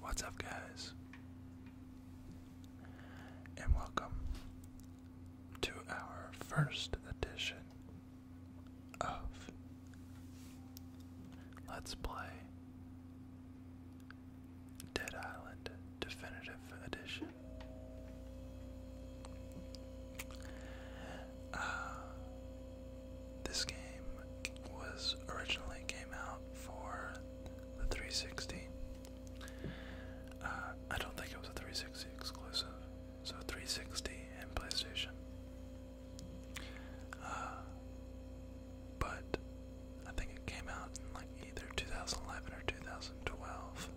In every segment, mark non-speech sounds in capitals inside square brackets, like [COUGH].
What's up, guys? And welcome to our first edition of Let's Play Dead Island Definitive Edition. Uh, this game was originally came out for the 360. Uh, I don't think it was a 360 exclusive, so 360 and PlayStation. Uh, but I think it came out in like either 2011 or 2012.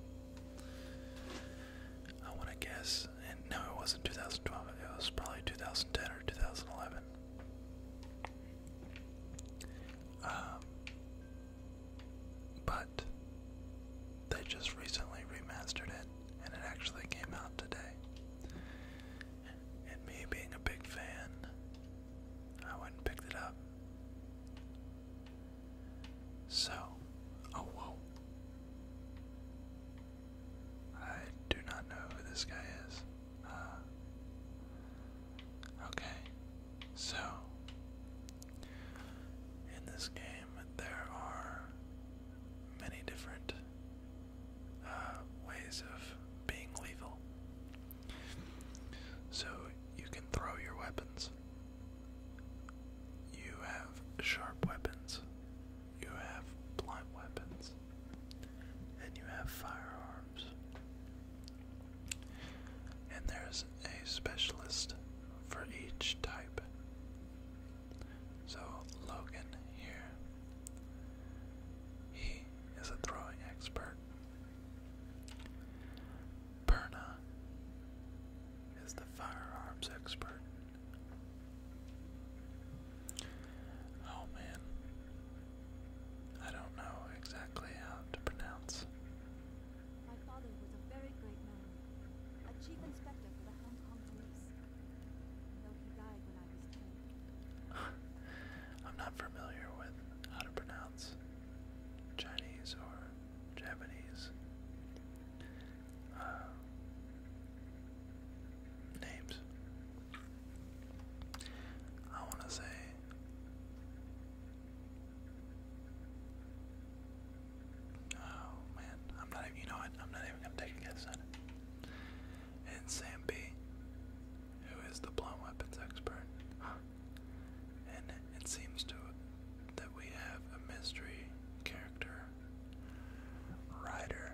I want to guess no, it wasn't 2012. It was probably 2010 or 2011. Um, but they just recently remastered it, and it actually came out today. And me being a big fan, I went and picked it up. So, oh whoa. I do not know who this guy is. Uh, okay, so in this game, there are many different uh, ways of being lethal. So you can throw your weapons. You have sharp weapons, you have blunt weapons, and you have firearms. And there's a specialist for each type. So, Logan here, he is a throwing expert. Perna is the firearms expert. Oh man. I don't know exactly how to pronounce. My father was a very great man, a chief inspector for the Hong Kong police. Though he died when I was i [LAUGHS] I'm not familiar with how to pronounce Chinese or Japanese. Uh, names. I want to say Oh man, I'm not even you know what, I'm not even gonna take a guess at it. And Sam B, who is the blunt weapons expert. and it seems to that we have a mystery character rider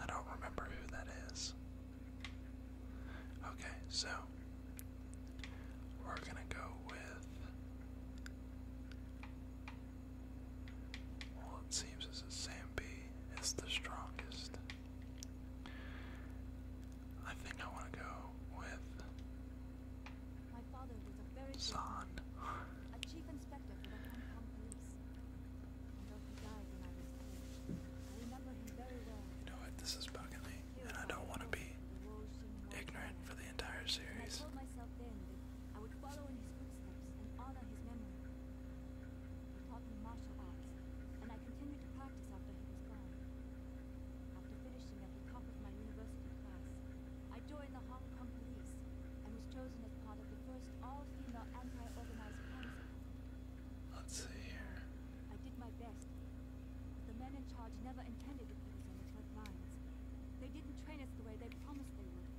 I don't remember who that is. Okay, so we're gonna go with. Well, it seems as if Sam is the strongest. I think I want to go with. My [LAUGHS] inspector for the Hong Kong police. This is bugging me, and I don't want to be ignorant for the entire series. I told myself then I would follow in his footsteps and honor his memory. He taught martial arts, and I continued to practice after he was gone. After finishing at the top of my university class, I joined the Hong Kong police and was chosen as Let's see here. I did my best. The men in charge never intended to put us on the front lines. They didn't train us the way they promised they would.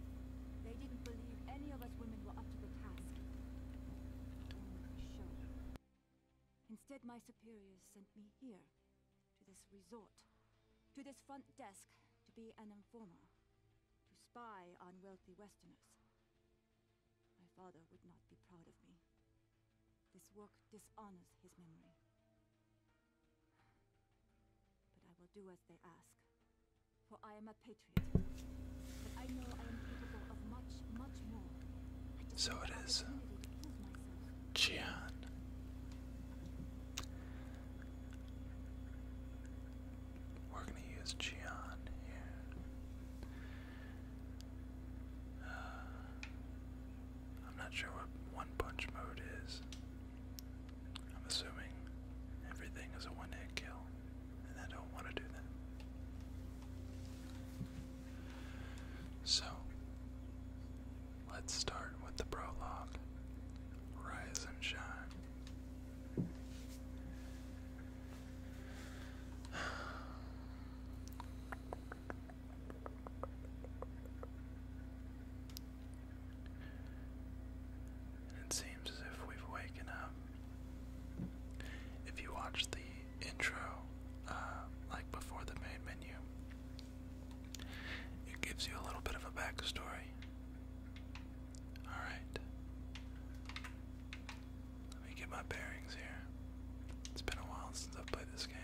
They didn't believe any of us women were up to the task. Show. Instead, my superiors sent me here, to this resort, to this front desk, to be an informer to spy on wealthy Westerners. My father would not be proud of me. This work dishonors his memory. But I will do as they ask, for I am a patriot. But I know I am capable of much, much more. So it is. Jian. We're going to use Cheon here. Uh, I'm not sure what one punch mode is. I'm assuming everything is a one hit kill, and I don't want to do that. So, let's start with the prologue Rise and Shine. It seems as if we've waken up. If you watch the intro, uh, like before the main menu, it gives you a little bit of a backstory Alright. Let me get my bearings here. It's been a while since I've played this game.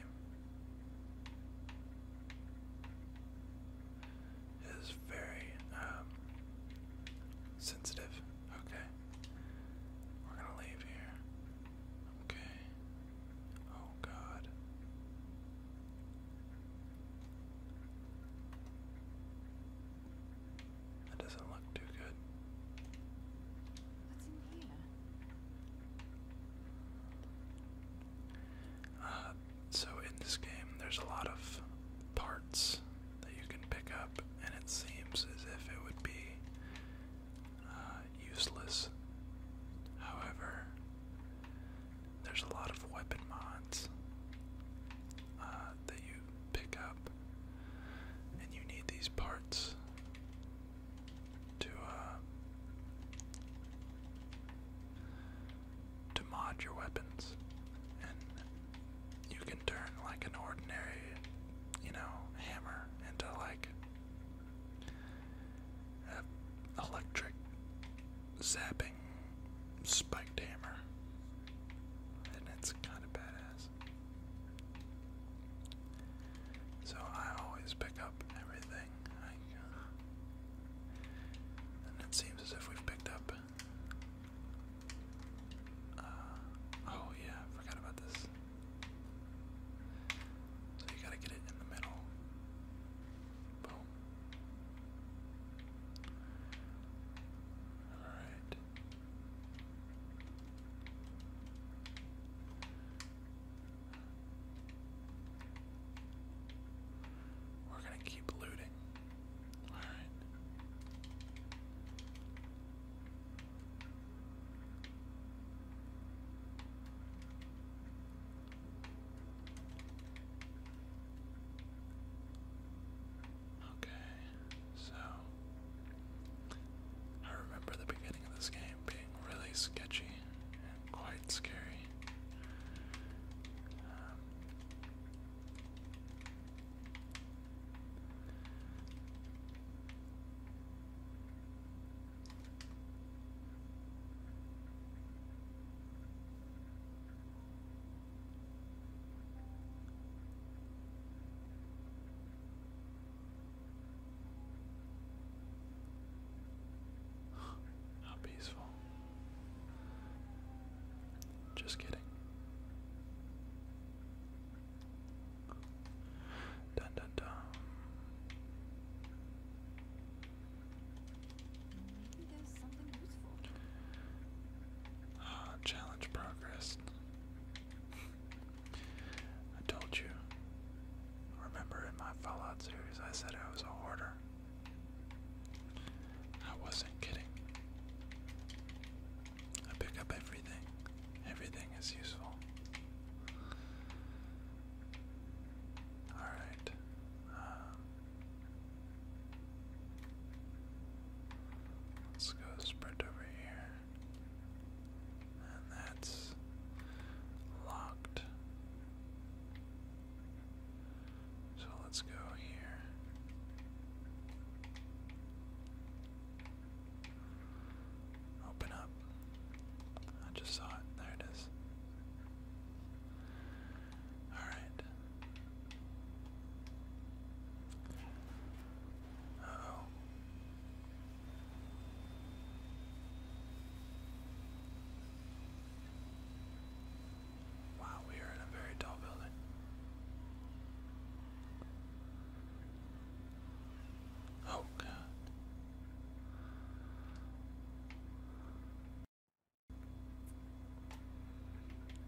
It is very um, sensitive. Okay. We're gonna leave here. Okay. Oh god. That doesn't look too good. What's in here? Uh, so in this game, there's a lot of parts that you can pick up, and it seems as if it would be uh, useless. However, there's a lot of weapon mods uh, that you pick up, and you need these parts to uh, to mod your weapons, and you can turn like an ordinary, you know, hammer into like a electric zapping spiked hammer, and it's kind of badass. So I always pick up everything, and it seems as if we've picked up. Uh, oh yeah, forgot about this. So you gotta get it in the middle. Boom. Alright. We're gonna keep looting. Alright. Okay, so I remember the beginning of this game being really sketchy and quite scary. Um, how [SIGHS] peaceful. Just kidding. Dun dun dun. Maybe ah, challenge progress. I told you. Remember in my Fallout series, I said I was a hoarder. I wasn't kidding. I pick up everything. Everything is useful. Alright. Um, Let's go sprint over here. And that's locked. So let's go here. Open up. I just saw it. There it is. Alright. Uh-oh. Wow, we are in a very tall building. Oh, God.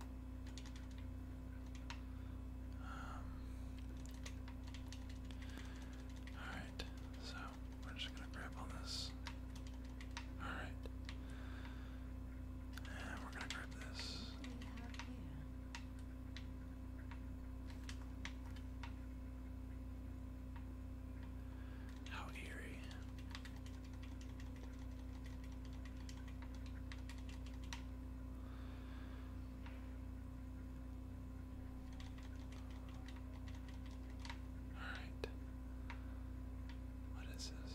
Um, Alright, so we're just gonna grab on this. Alright. And we're gonna grab this. How eerie. All right. What is this?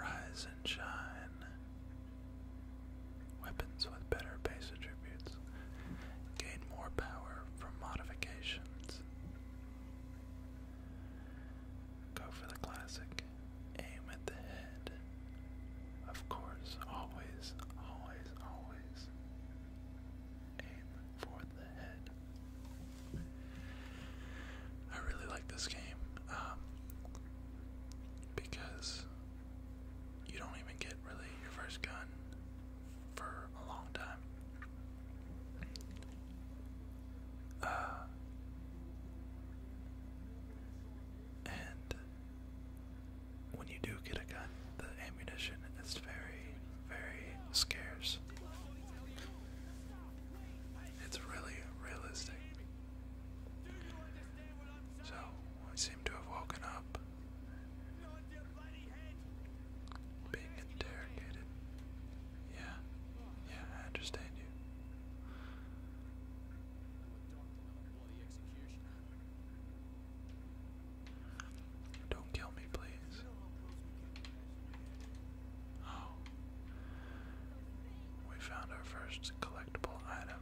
Rise and shine. Weapons with better base attributes gain more power from modifications. Go for the classic. Aim at the head. Of course, always, always, always aim for the head. I really like this game um, because you don't even get really your first gun for a long time. Uh, and when you do get a gun, the ammunition is very, very scarce. It's really realistic. So, we seem to have woken up. Being interrogated. Yeah, yeah, I understand you. Don't kill me, please. Oh. We found our first collectible item.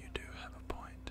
You do have a point.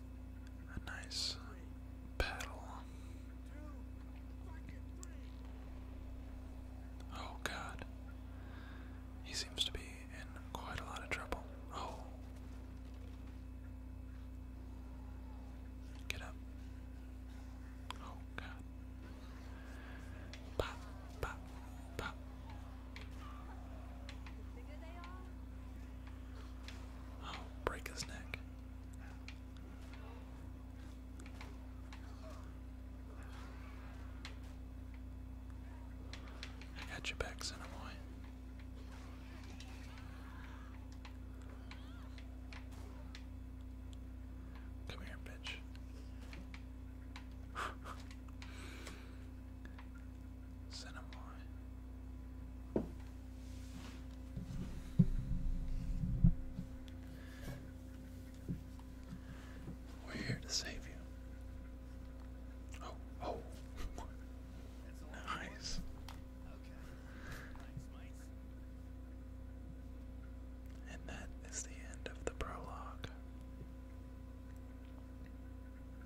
a nice battle. Oh god. He seems to be in quite a lot of trouble. Oh. Get up. Oh god. Pop, pop, pop. Oh, break his neck. I got your back, Cinemoy. Come here, bitch. [LAUGHS] Cinnamon. We're here to save you. Oh, oh. [LAUGHS] nice. And that is the end of the prologue.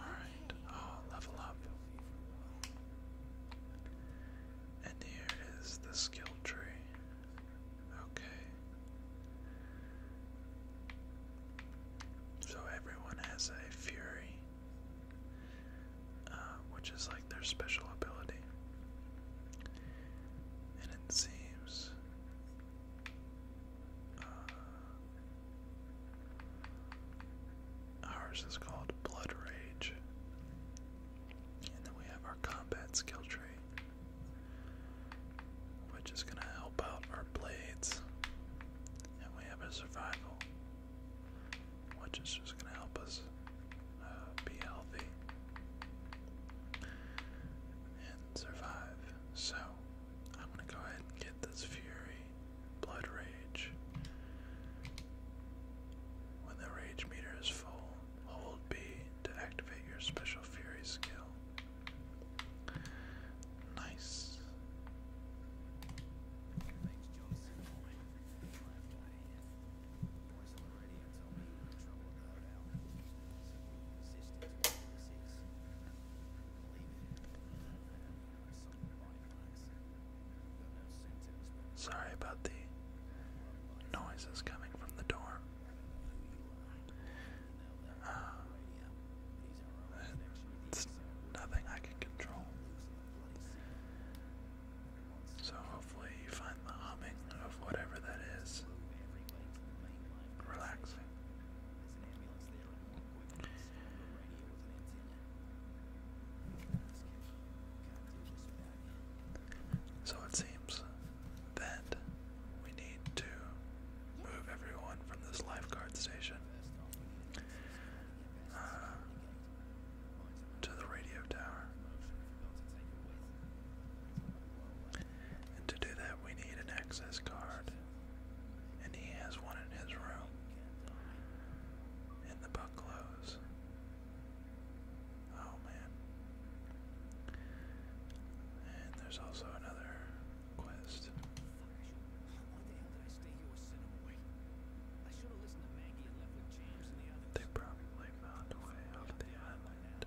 Alright, oh, level up. And here is the skill tree. Okay. So everyone has a fury, uh, which is like their special ability and it seems uh, ours is called Blood Rage, and then we have our combat skill tree, which is going to help out our blades, and we have a survival, which is just going to help us uh, be healthy and survive. So I'm gonna go ahead and get this fury, blood rage. When the rage meter is full, hold B to activate your special fury skill. Nice. Sorry about the noises coming from the door. Uh, it's nothing I can control. So, you find the humming of whatever that is relaxing. So it seems that we need to move everyone from this lifeguard station uh, to the radio tower. And to do that, we need an access card. And he has one in his room. And the bucklows. Oh man. And there's also another quest. They probably found way off the island.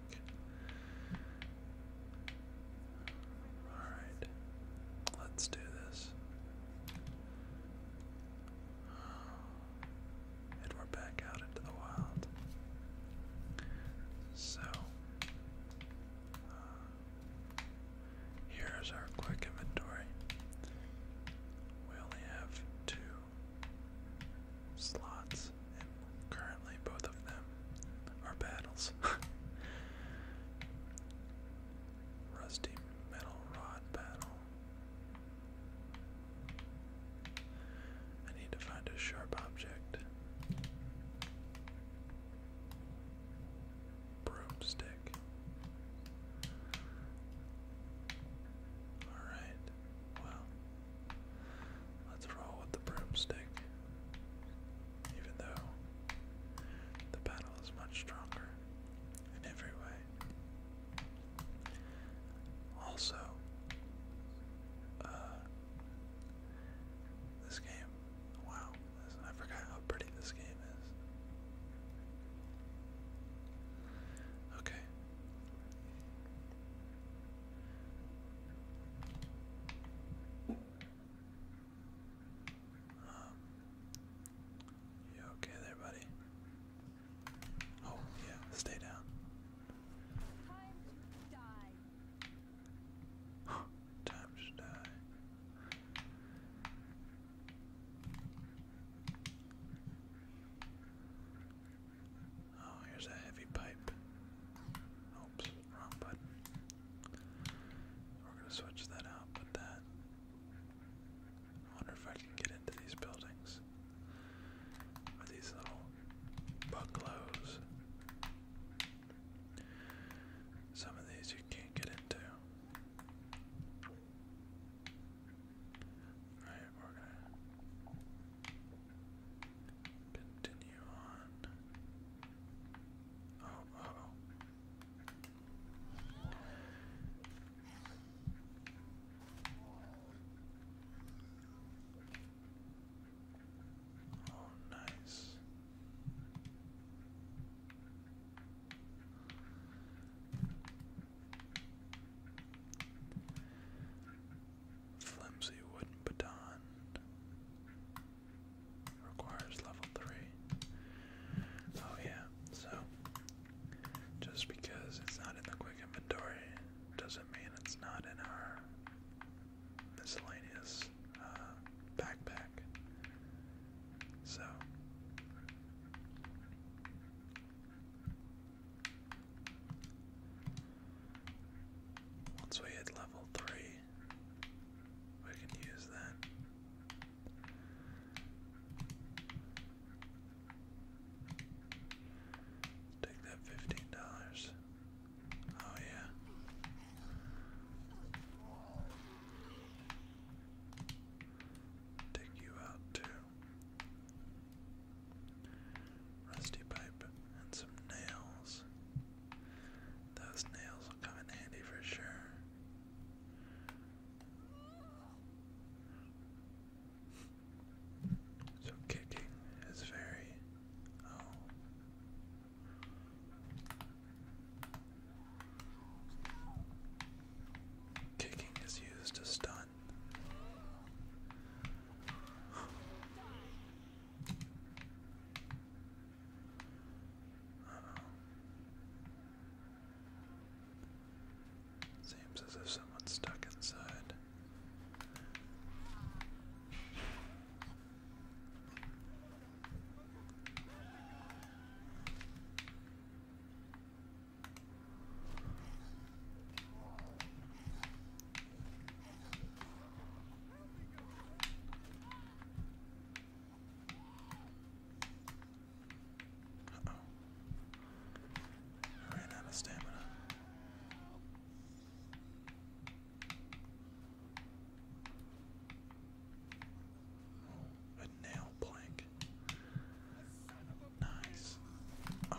Alright. Let's do this. And we're back out into the wild. So, uh, here's our quick inventory. We only have two slots, Currently, both of them are battles. [LAUGHS] Rusty metal rod battle. I need to find a sharp object. Broomstick. Alright, well, Let's roll with the broomstick. Even though the battle is much stronger in every way. Also, uh, this game, wow, I forgot how pretty this game is. Okay. Um, you okay there, buddy? Oh, yeah, stay down. Time to die. Time to die. Oh, here's a heavy pipe. Oops. Wrong button. We're gonna switch that out with that. wonder if I can get into these buildings with these little bungalows. Some of these you can't get into. Alright, we're gonna Continue on. Oh, oh. Oh, nice. Flimsy wooden baton. Requires level 3. Oh, yeah, so just because it's not in the quick inventory doesn't mean it's not in our miscellaneous uh, backpack. So. Once we hit level 3, we can use that. Take that fifteen dollars. Oh yeah. Take you out too. Rusty pipe and some nails. Those nails will come in handy for sure. So kicking is very oh. Kicking is used to stun. Seems as if someone's stuck inside. Uh oh. I ran out of stamina. Oh, a nail plank. Nice. Oh.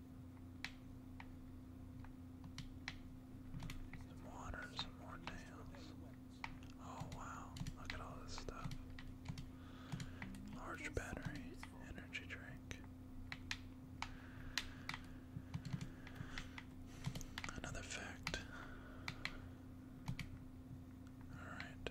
Some water, some more nails. Oh wow, look at all this stuff. Large battery, energy drink. Another fact. Alright.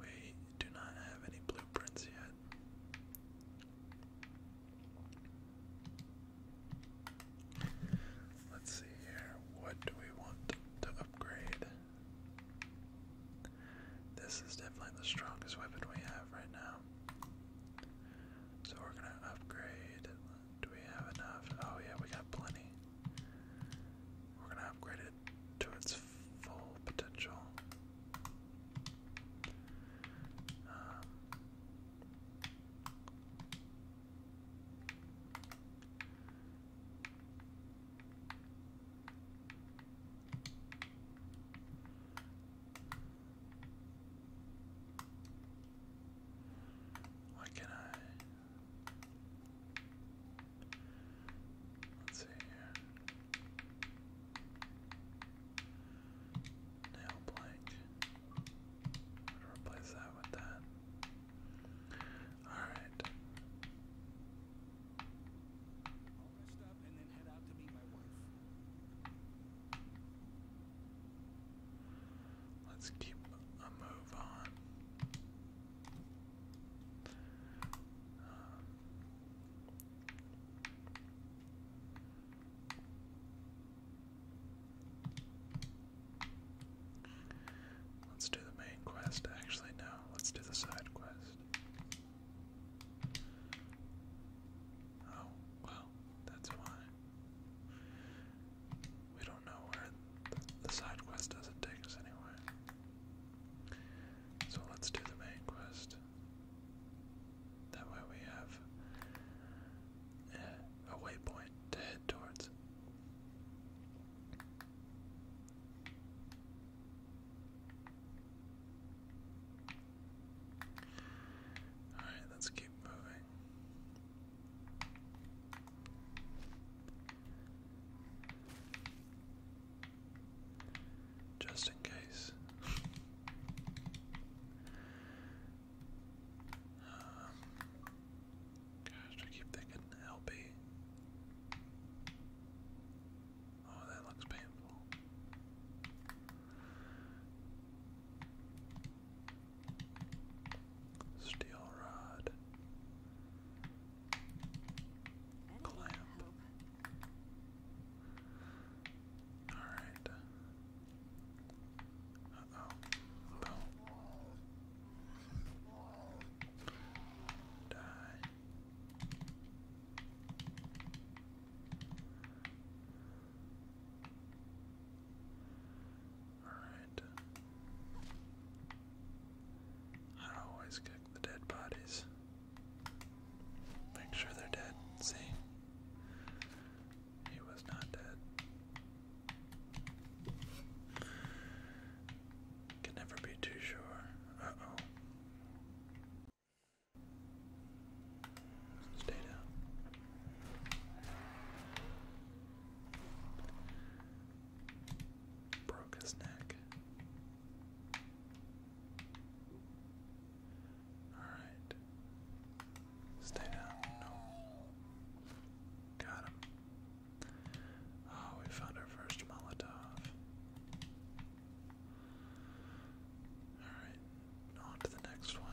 We do not have any blueprints yet. Let's see here. What do we want to upgrade? This is definitely the strongest weapon we have right now. So we're gonna upgrade. Do we have enough? Oh yeah, we got plenty. We're gonna upgrade it to its full potential. Um, why can I? Let's see here. Nail blank. replace that with that. Alright. Let's keep a move on. Let's do the main quest. Actually, no, let's do the side quest. Oh, well, that's fine. We don't know where the, side quest doesn't take us anywhere. So let's do the main quest. That way we have uh, a waypoint to head towards. Alright, let's keep moving. Just in case. Um, gosh, I keep thinking LB. Oh, that looks painful. Steel rod. Clamp. Alright. Uh-oh. Boom. Die. Alright. I always get the dead bodies. Make sure they're dead. See? He was not dead. Can never be too sure. Uh oh. Stay down. Broke his neck. Alright. Stay down. No. Got him. Oh, we found our first Molotov. Alright, on to the next one.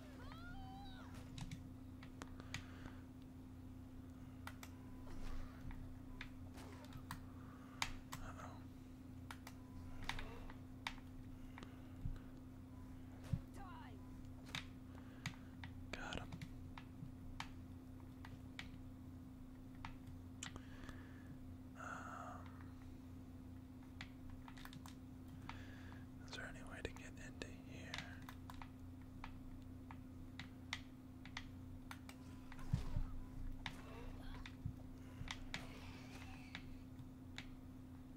Uh-oh. Got him. Um, is there any way to get into here?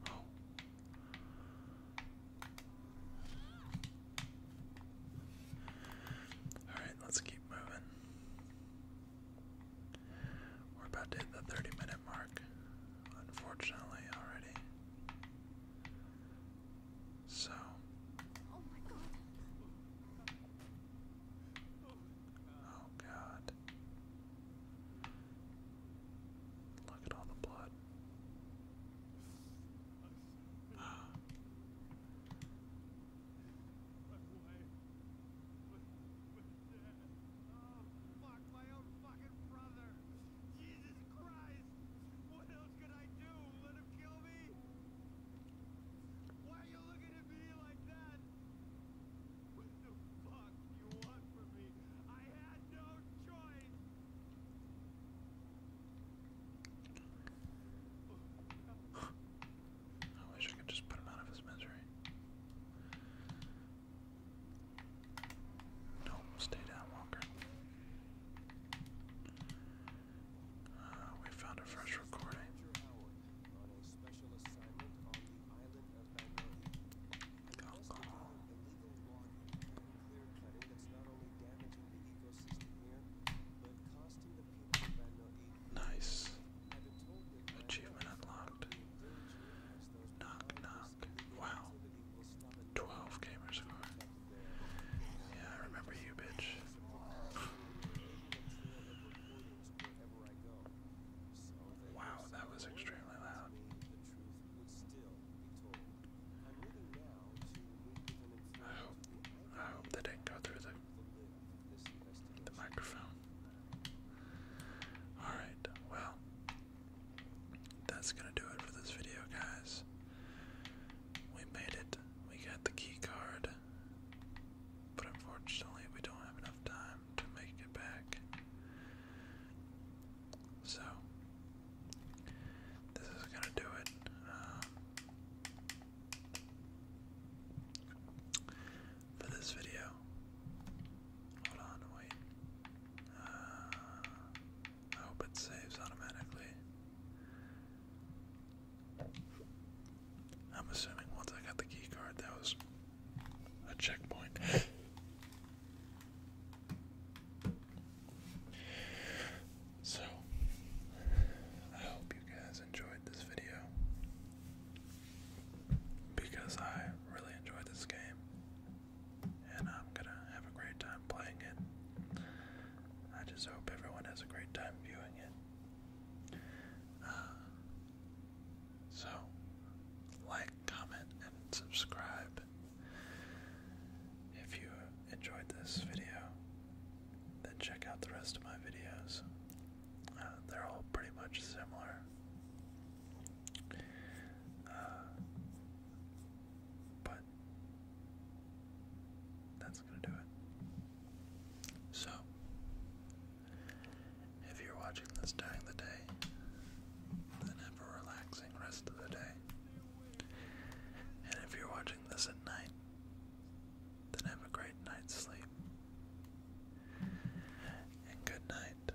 Oh. Alright, let's keep moving. We're about to hit the 30 minute mark unfortunately, already. So. Oh my god. Oh god. Look at all the blood. [GASPS] Fuck my own fucking brother. Jesus Christ! What else could I do? Let him kill me? Why are you looking at me like that? What the fuck do you want from me? I had no choice! I wish I could just put him out of his misery. No, stay down, Walker. Uh, we found a fresh recording. Nice. Achievement unlocked. Knock knock. Wow. 12 gamer Yeah, I remember you, bitch. wow, that was extremely loud. I hope, I hope that did go through the, the microphone. Alright, well, that's gonna do it for this video, guys. We made it. We got the key card. But unfortunately, we don't have enough time to make it back. So, this is gonna do it. Um, for this video, Hold on, wait. Uh, I hope it saves automatically. I'm assuming once I got the key card, that was a checkpoint. [LAUGHS] so, I hope you guys enjoyed this video because I really enjoyed this game and I'm gonna have a great time playing it. I just hope everyone has a great time viewing it. Uh, so, like, comment, and subscribe if you enjoyed this video. Then check out the rest of my videos. Uh, they're all pretty much similar. Uh, but that's going to do it. So, if you're watching this during the day, then have a relaxing rest of the day. And if you're watching this at night, then have a great night's sleep. And good night,